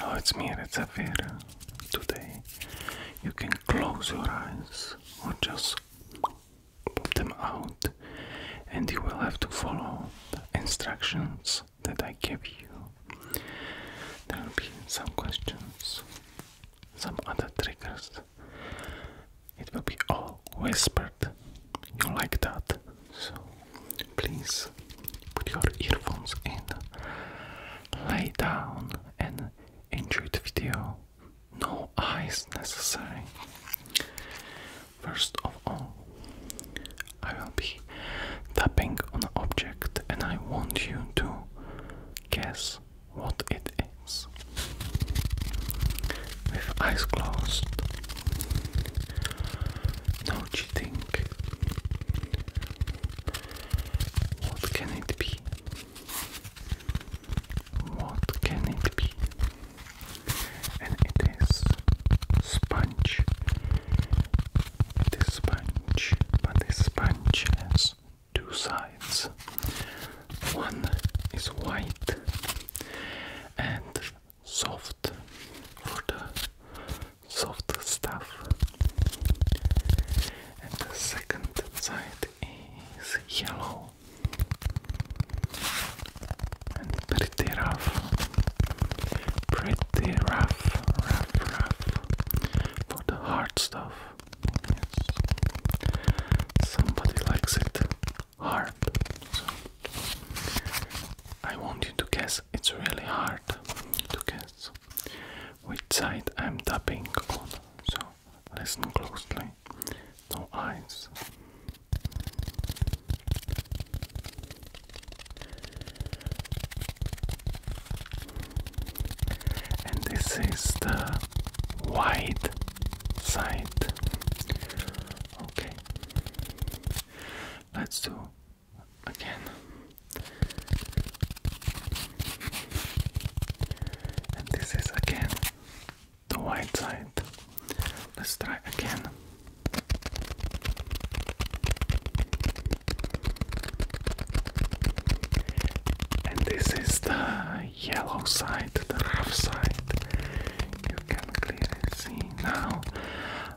Oh, it's me, It's Rezafir. Today you can close your eyes or just pop them out, and you will have to follow the instructions that I give you. There will be some questions, some other triggers. It will be all whispered. You like that? So please put your earphones in, lay down, and enjoy the video. No eyes necessary. First of all, I will be tapping on an object and I want you to guess what it is. With eyes closed, no cheating, what can it be? What can it be? And it is sponge. It is sponge, but this sponge has two sides. One is white and soft for the soft stuff. And the second side is yellow and pretty rough, pretty rough, rough, rough for the hard stuff. Yes. Somebody likes it hard. So I want you to guess. It's really hard to guess which side I'm tapping on so listen closely no eyes and this is the white side okay let's do again. And this is again the white side. Let's try again. And this is the yellow side, the rough side. You can clearly see now.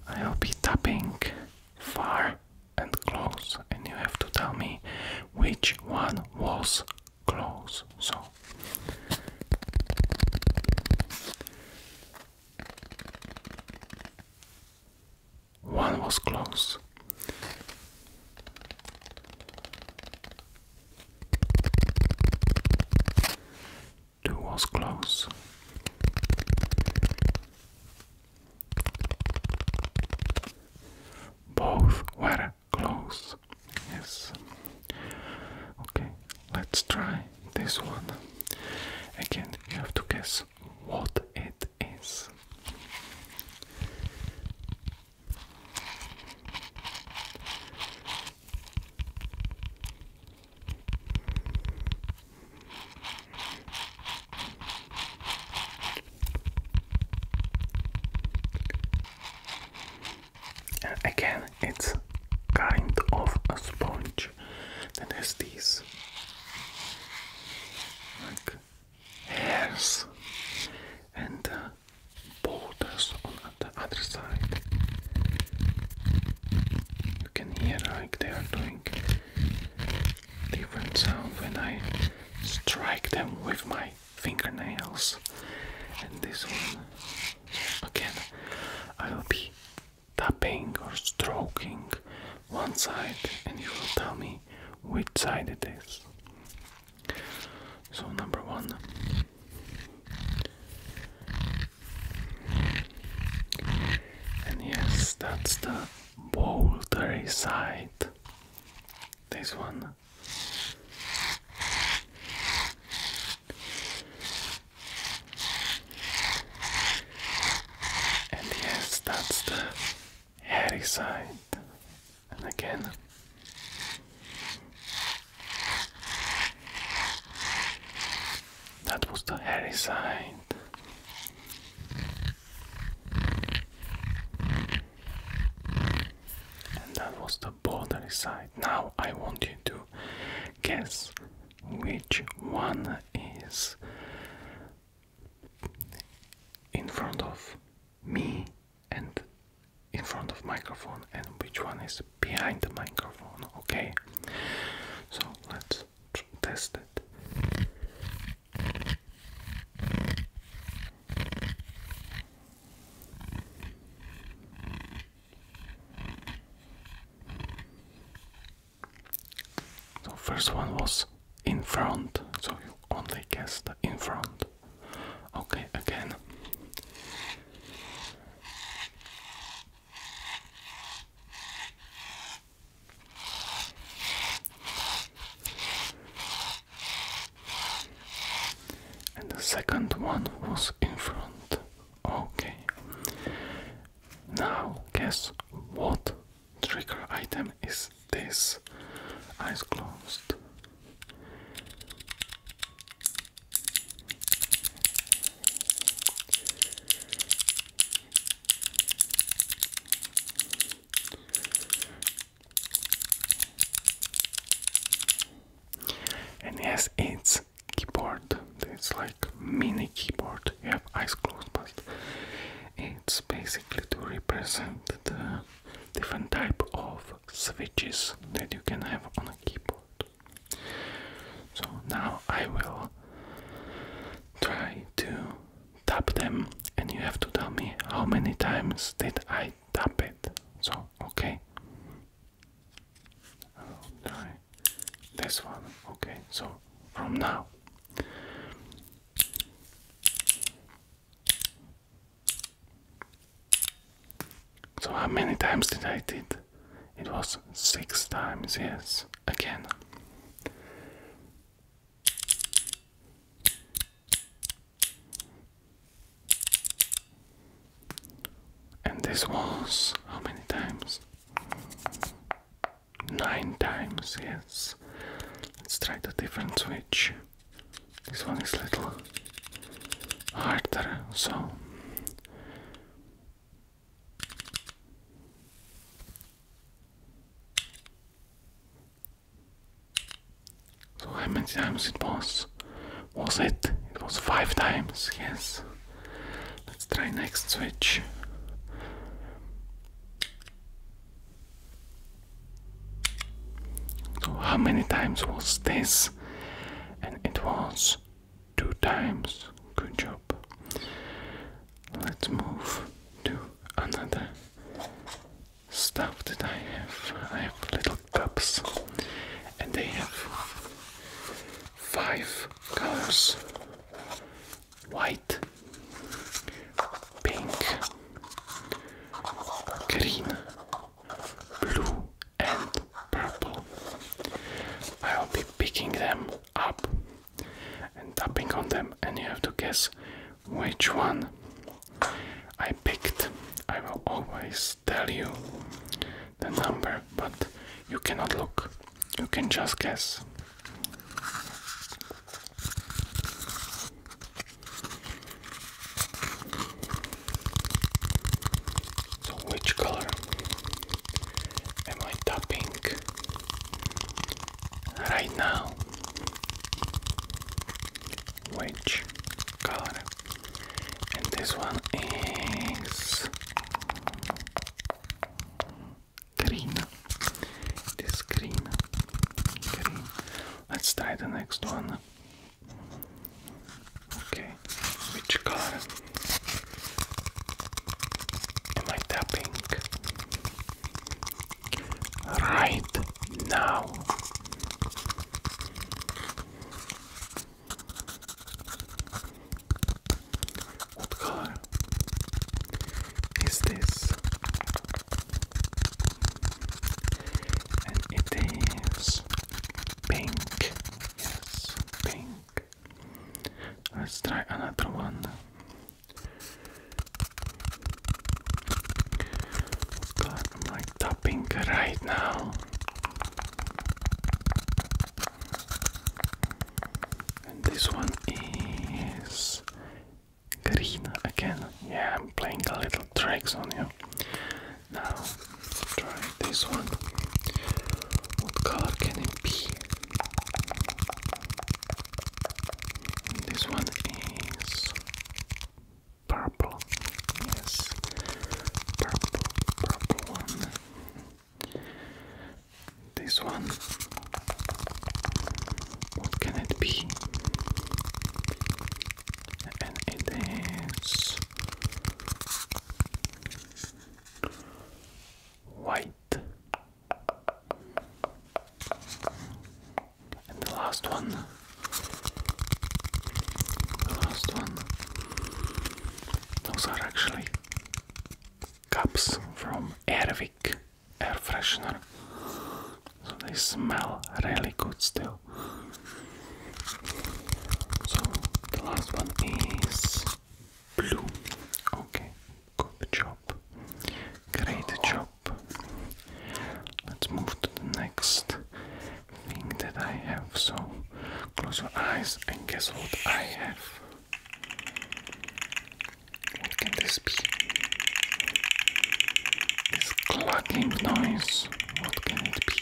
I'll be tapping far and close, and you have to tell me which one was close. So, one was close. Two was close. Both were close. Yes. Okay, let's try this one. Again, you have to guess what it is. And again, it's kind of a sponge that there's these like hairs and uh, borders on the other side. You can hear like they are doing different sound when I strike them with my fingernails. And this one, again, I'll be tapping or stroking one side, and you will tell me which side it is. So, number one. And yes, that's the bouldery side. This one. And yes, that's the hairy side. And again. That was the hairy side. And that was the border side. Now I want you to guess which one is in front of me and in front of microphone and which one is behind the microphone, okay? So let's test it. So first one was in front, so you only guess the in front. Okay, again. And the second one was in front. Okay. Now, guess what trigger item is this? Eyes closed. And yes, it's keyboard. It's like mini keyboard. You have eyes closed, but it's basically to represent the different type of switches that you can have on a keyboard. So now I will try to tap them and you have to tell me how many times did I tap it. So, okay. I'll try this one. Okay, so from now. So how many times did I did? It was six times, yes. Again. And this was how many times? Nine times, yes. Let's try the different switch. This one is a little harder, so. So how many times it was? Was it? It was five times, yes. Let's try next switch. So how many times was this? And it was two times. Good job let's move to another stuff that I have. I have little cups and they have five colors white, pink, green, blue, and purple. I'll be picking them up and tapping on them, and you have to guess which one I picked. I will always tell you the number, but you cannot look, you can just guess. So, which color am I tapping? right now, which color? And this one is green. This green, Let's try the next one. Okay, which color? Am I tapping? right now. What color is this? And it is pink. Yes, pink. Let's try another one. God, I'm like tapping right now. And this one is Karina again. Yeah, I'm playing a little tricks on you. Now, try this one. What color can it be? This one is purple. Yes, purple, purple one. This one. What can it be? And it is white. And the last one. The last one. Those are actually cups from Airwick air freshener. So they smell really good still. So the last one is blue. Okay, Good job. Great job. Let's move to the next thing that I have. So close your eyes and guess what I have. What can this be? This clacking noise. What can it be?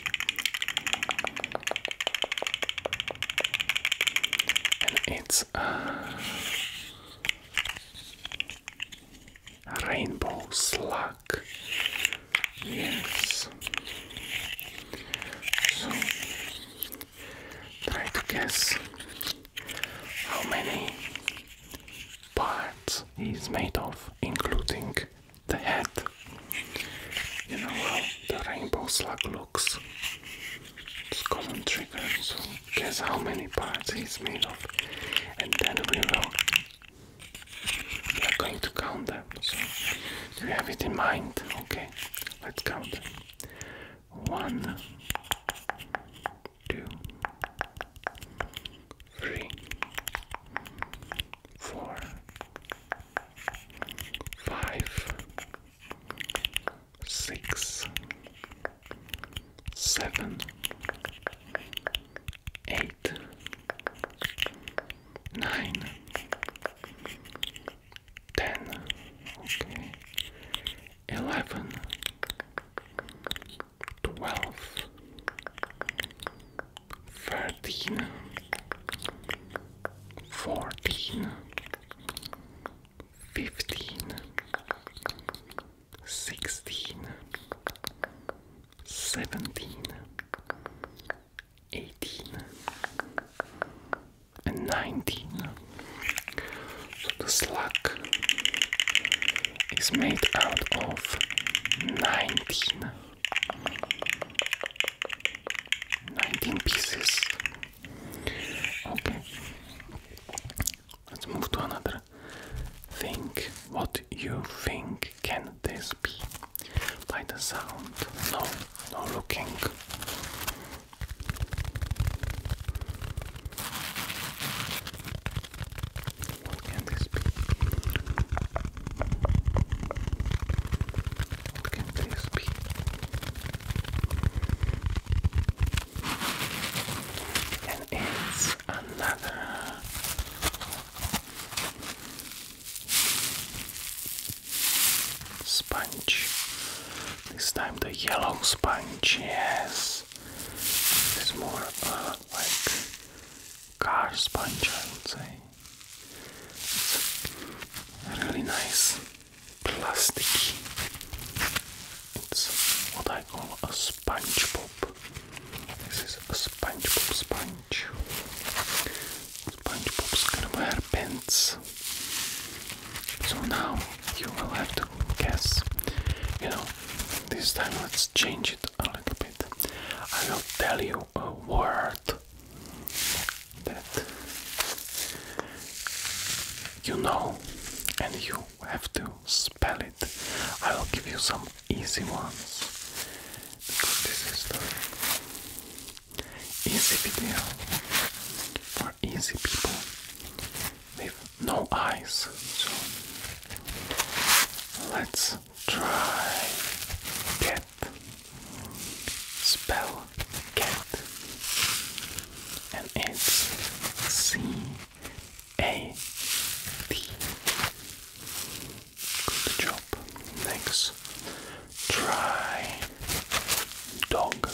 And it's uh, Rainbow slug. Yes. So try to guess how many parts he is made of, including the head. You know how the rainbow slug looks. It's common trigger, guess how many parts it's made of, and then we will. We are going to count them. So you have it in mind, okay? Let's count them. One, two, three, four, five, six, seven, eight, nine, ten, okay, eleven, twelve, thirteen, fourteen. Fifteen, sixteen, seventeen, eighteen, and nineteen. So the slug is made out of nineteen. pieces. Okay. Let's move to another. Think what you think can this be? By the sound. No, no looking. What can this be? What can this be? it's another sponge. This time the yellow sponge, yes. It's more uh, like car sponge, I would say. It's really nice, plasticky it's what I call a SpongeBob. This is a SpongeBob sponge. Sponge pop's gonna wear pants. So now you will have to guess. You know, this time let's change it a little bit. I will tell you a word that you know and you have to spell it. I will give you some easy ones because this is the easy video for easy people with no eyes. So let's try cat spell cat and it's C a D. Good job. Next, try dog.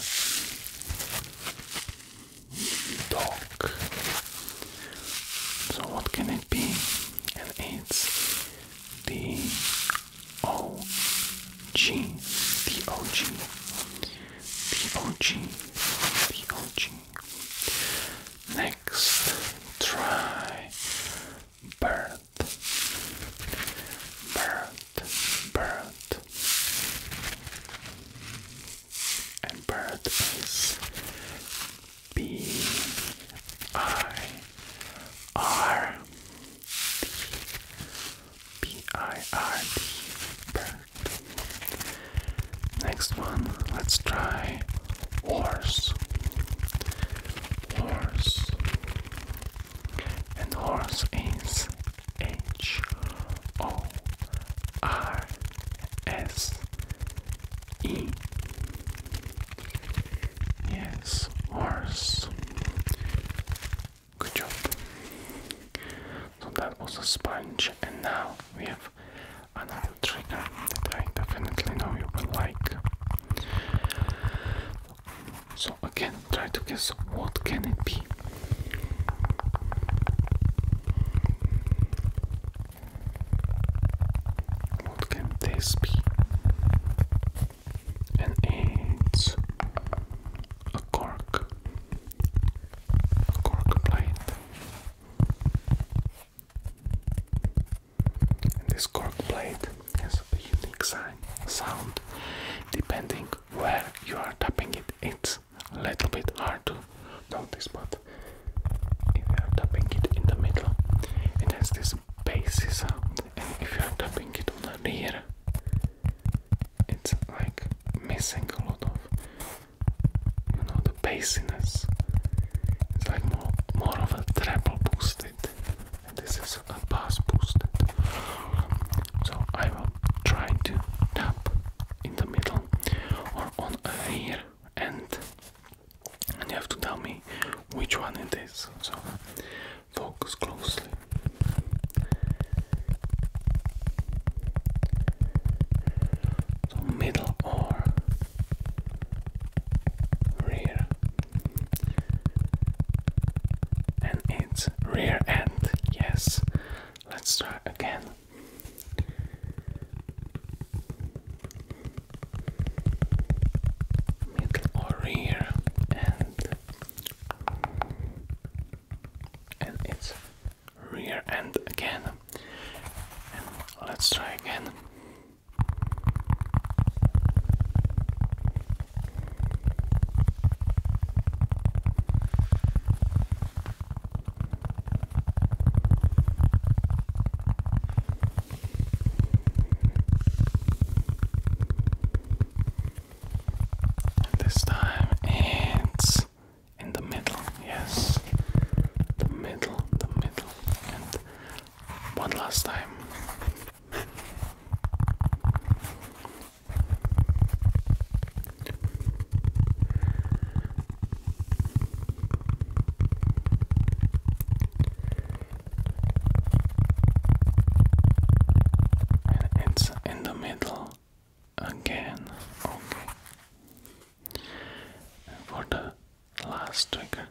Dog. So what can it be? And it's D O G D O G D O G D O G Next, try bird, bird, bird, and bird is B I R D B I R D bird. Next one, let's try horse. Horse. And horse is H O R S E. Yes, horse. Good job. So that was a sponge, and now we have another trigger that I definitely know you will like. So again, try to guess what can it be. What can this be? And it's a cork, cork plate this cork plate has a unique sound depending where you are tapping it. It's a little bit hard to notice, but if you are tapping it in the middle, it has this bassy sound, and if you are tapping it on the rear, it's like missing a lot of you know the bassiness it's like more more of a treble boosted and this is a bass boosted so I will try to tap in the middle or on here, ear and you have to tell me which one it is so focus closely so middle or rear, and it's rear end. Yes, let's try again. Middle or rear end, and it's rear end again. let's try again. this time it's in the middle, yes, the middle, the middle, and one last time. And it's in the middle again. Okay. for the last trigger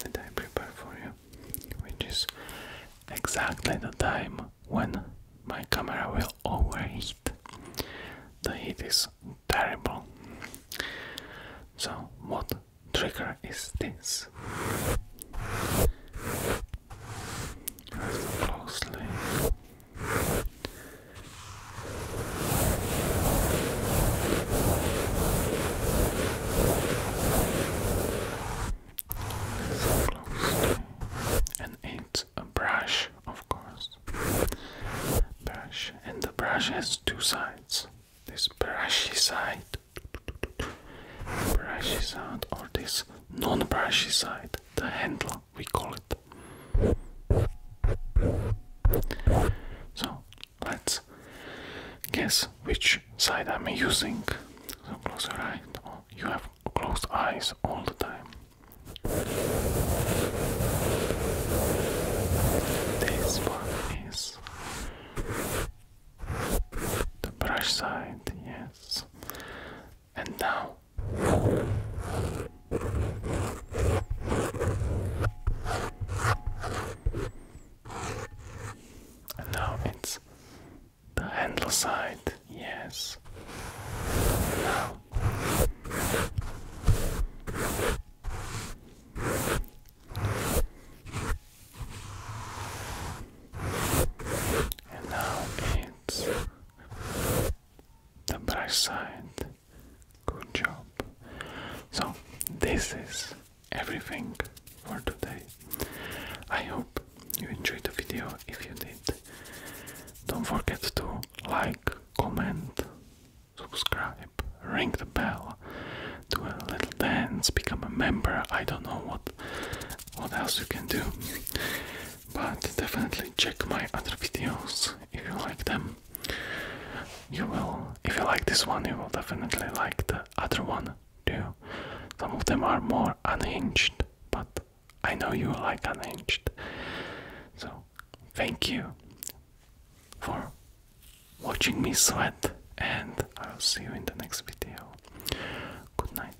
that I prepared for you, which is exactly the time when my camera will overheat. The heat is terrible. So, what trigger is this? Closely. And it's a brush, of course. Brush. And the brush has two sides. This brushy side. Brushy side or this non-brushy side. The handle we call it so let's guess which side I'm using. So close your eyes. Oh, you have closed eyes all the time. This one is the brush side, yes. And now and now it's the handle side, yes. And now it's the bright side. Good job. So, this is everything for today. I hope you enjoyed the video. If you did, don't forget to like, comment, subscribe, ring the bell, do a little dance, become a member. I don't know what what else you can do. But definitely check my other videos if you like them. You will, if you like this one, you will definitely like the other one too. Some of them are more unhinged, but I know you like unhinged. So, thank you for watching me sweat, and I'll see you in the next video. Good night.